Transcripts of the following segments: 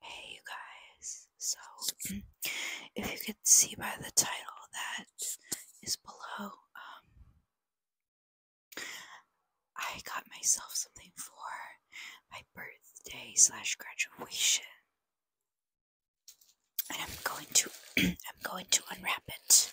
Hey, you guys. So, if you could see by the title that is below, um, I got myself something for my birthday slash graduation, and I'm going to I'm going to unwrap it.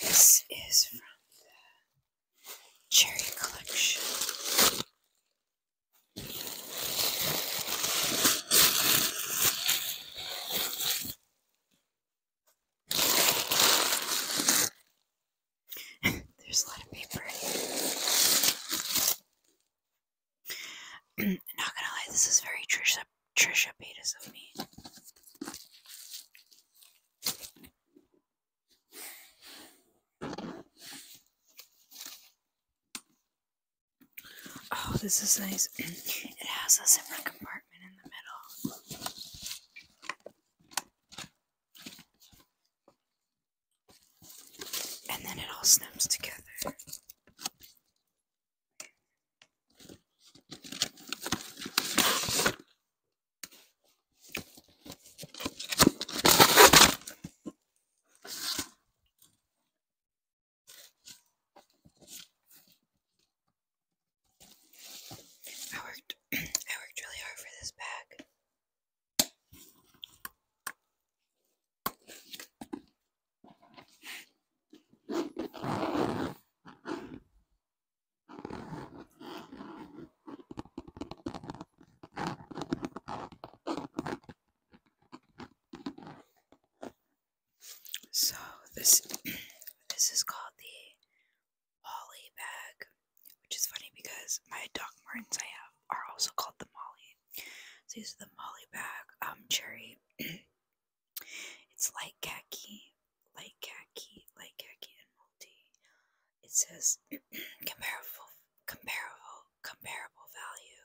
This is from the Cherry Collection. There's a lot of paper. Not gonna lie, this is very Trisha Trisha Paytas of me. Oh, this is nice. It has a zipper compartment in the middle. And then it all snaps together. I worked I worked really hard for this bag. So this this is called the Molly bag, which is funny because my Doc Martins I have are also called the Molly. So these are the Molly bag, um, cherry. it's light khaki, light khaki, light khaki, and multi. It says comparable, comparable, comparable value.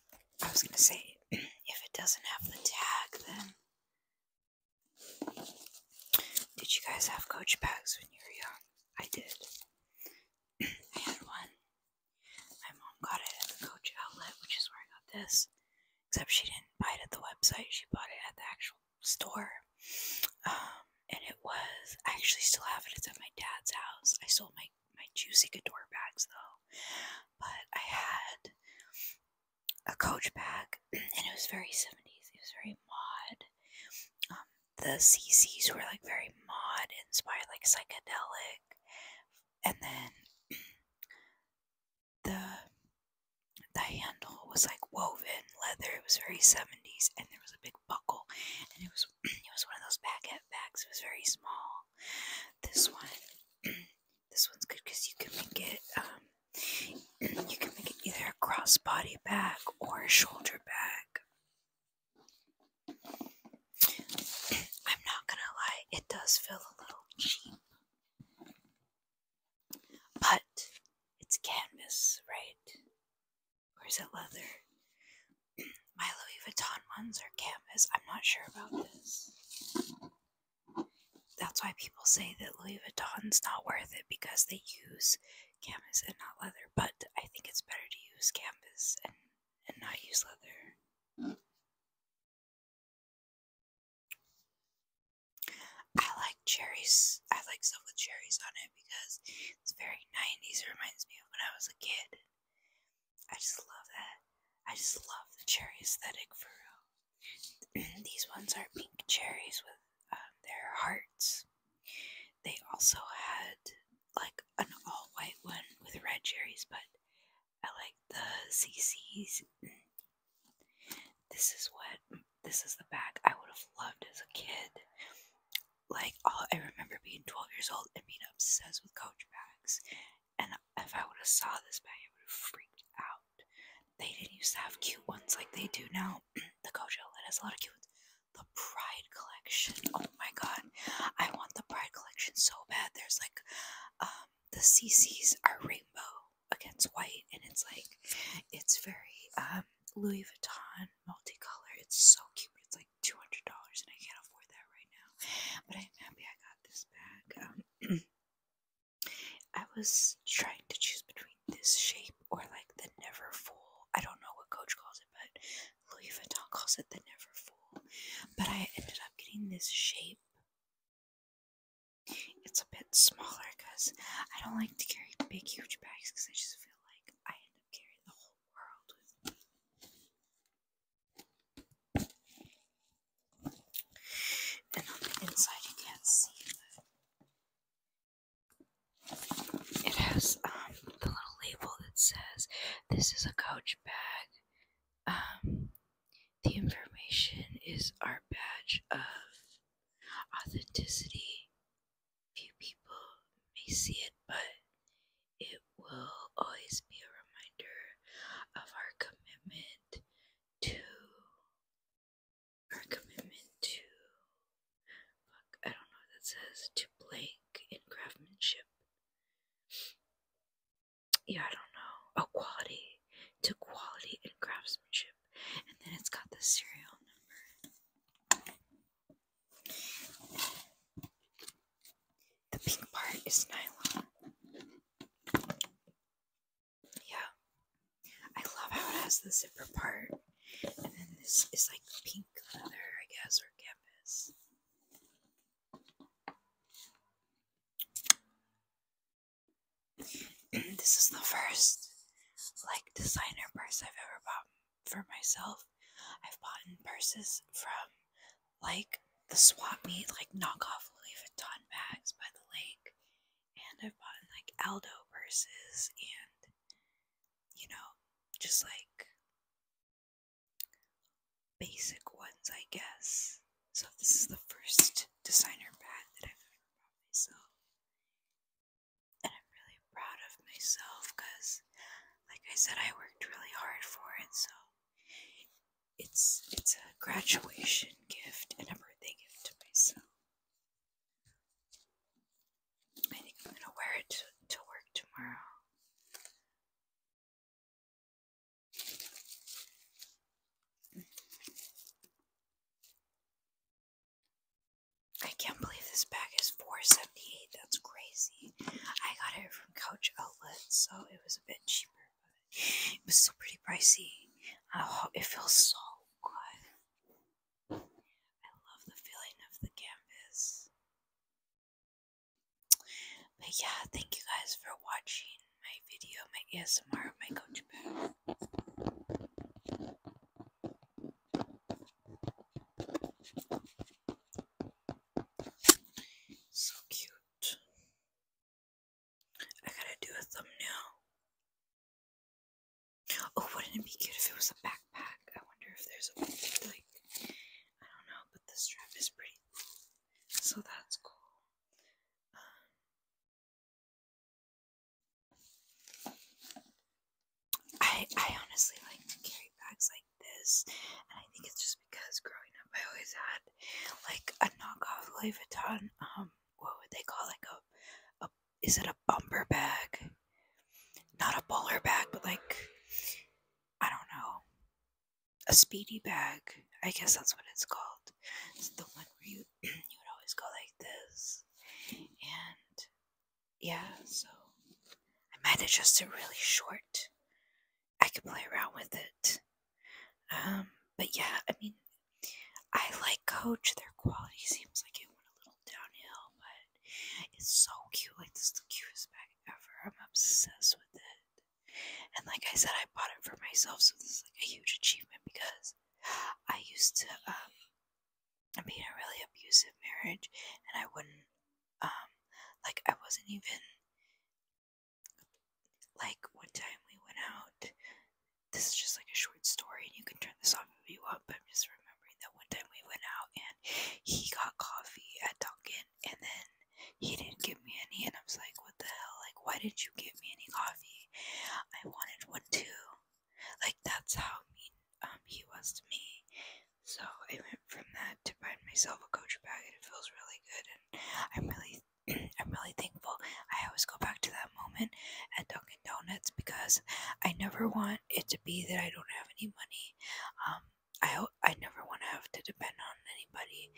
I was gonna say, if it doesn't have the tag, then. Did you guys have coach bags when you were young? I did. I had one. My mom got it at the coach outlet, which is where I got this. Except she didn't buy it at the website, she bought it at the actual store. Um, and it was, I actually still have it, it's at my dad's house. I sold my, my juicy Couture bags though. But I had a coach bag, and it was very 70s. It was very mod. Um, the CCs were like very mod inspired, like psychedelic. And then the the handle was like woven leather. It was very 70s, and there was a big buckle, and it was it was one of those baguette bags. It was very small. This one this one's good because you can make it um, you can make it either a crossbody bag or a shoulder bag. I'm not gonna lie, it does feel a little cheap. But it's canvas, right? Or is it leather? My Louis Vuitton ones are canvas. I'm not sure about this. That's why people say that Louis Vuitton's not worth it because they use canvas and not leather, but I think it's better to use canvas and, and not use leather. I like cherries. I like stuff with cherries on it because it's very 90s. It reminds me of when I was a kid. I just love that. I just love the cherry aesthetic for real. Um, these ones are pink cherries with um, their hearts. They also had like an all white one with red cherries, but I like the CCs. This is what this is the bag I would have loved as a kid. Like all I remember being 12 years old and being obsessed with Coach bags and if I would have saw this bag, I would have freaked out. They didn't used to have cute ones like they do now. the Kojo Lit has a lot of cute ones. The Pride Collection. Oh my god. I want the Pride Collection so bad. There's like, um, the CCs are rainbow against white. And it's like, it's very, um, Louis Vuitton multicolor. It's so cute. It's like $200 and I can't afford that right now. But I'm happy I got this bag. Um, I was trying to choose between this shape or like the never full. I don't know what Coach calls it, but Louis Vuitton calls it the never full. But I ended up getting this shape. It's a bit smaller because I don't like to carry big, huge bags because I just feel like I end up carrying the whole world with me. And on the inside, you can't see, but it has um, the little label that says, This is a coach bag. Um, the information is our badge of authenticity. Few people may see it, but it will always be a reminder of our commitment to our commitment to I don't know what that says, to blank in craftsmanship. Yeah, I don't know. Oh quality. To quality in craftsmanship. And then it's got the serial number. The pink part is nylon. Yeah. I love how it has the zipper part. And then this is like pink leather, I guess, or canvas. this is the first like designer purse I've ever bought for myself. I've bought in purses from like the swap meet, like knockoff Louis Vuitton bags by the lake. And I've bought like Aldo purses and, you know, just like basic ones, I guess. So this is the first designer bag that I've ever bought myself. And I'm really proud of myself because, like I said, I worked really hard for it. So it's it's a graduation gift and a birthday gift to myself. I think I'm gonna wear it to, work tomorrow. I can't believe this bag is four seventy eight. That's crazy. I got it from Couch Outlet, so it was a bit cheaper. It was so pretty pricey. Oh, it feels so good. I love the feeling of the canvas. But yeah, thank you guys for watching my video, my ASMR, my coach bag. So cute. I gotta do a thumbnail. Oh, wouldn't it be cute if it was a backpack? I wonder if there's a like I don't know, but the strap is pretty, so that's cool. Um, I I honestly like carry bags like this, and I think it's because growing up I always had like a knockoff Louis Vuitton. Um, what would they call like a, a is it a bumper bag? Not a bowler bag, but like I don't know, a speedy bag. I guess that's what it's called. It's the one where you you would always go like this, and yeah. So I might have just a really short I can play around with it. Um, but yeah, I mean, I like Coach. Their quality seems like it went a little downhill, but it's so cute. Like this is the cutest bag ever. I'm obsessed with it. And like I said, I bought it for myself, so this is like a huge achievement because I used to um, be in a really abusive marriage, and I wouldn't um, like I wasn't even like one time we went out. This is just like a short story, and you can turn this off if you want. But I'm just remembering that one time we went out and he got coffee at Dunkin', and then he didn't give me any, and I was like, "What the hell? Like, why did you give me any coffee? I wanted one too." Like that's how mean um he was to me. So I went from that to buying myself a Coach bag, and it feels really good. And I'm really I'm really thankful. I always go back to that moment at Dunkin' Donuts because I never want it to be that I don't have any money. Um, I I never want to have to depend on anybody,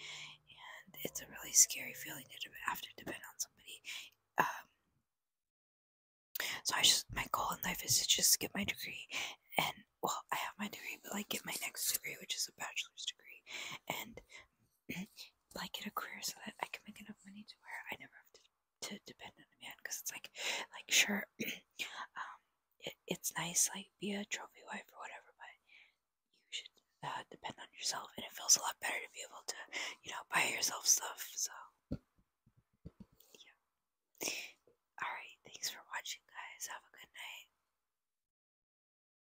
and it's a really scary feeling to have to depend on somebody. Um, so I just my goal in life is to just get my degree, and well, I have my degree, but like get my next degree, which is a bachelor's degree, and like get a career so that I can make enough money to wear. I never have to to depend on a man because it's like like sure um it, it's nice like be a trophy wife or whatever but you should uh, depend on yourself and it feels a lot better to be able to you know buy yourself stuff so yeah all right thanks for watching guys have a good night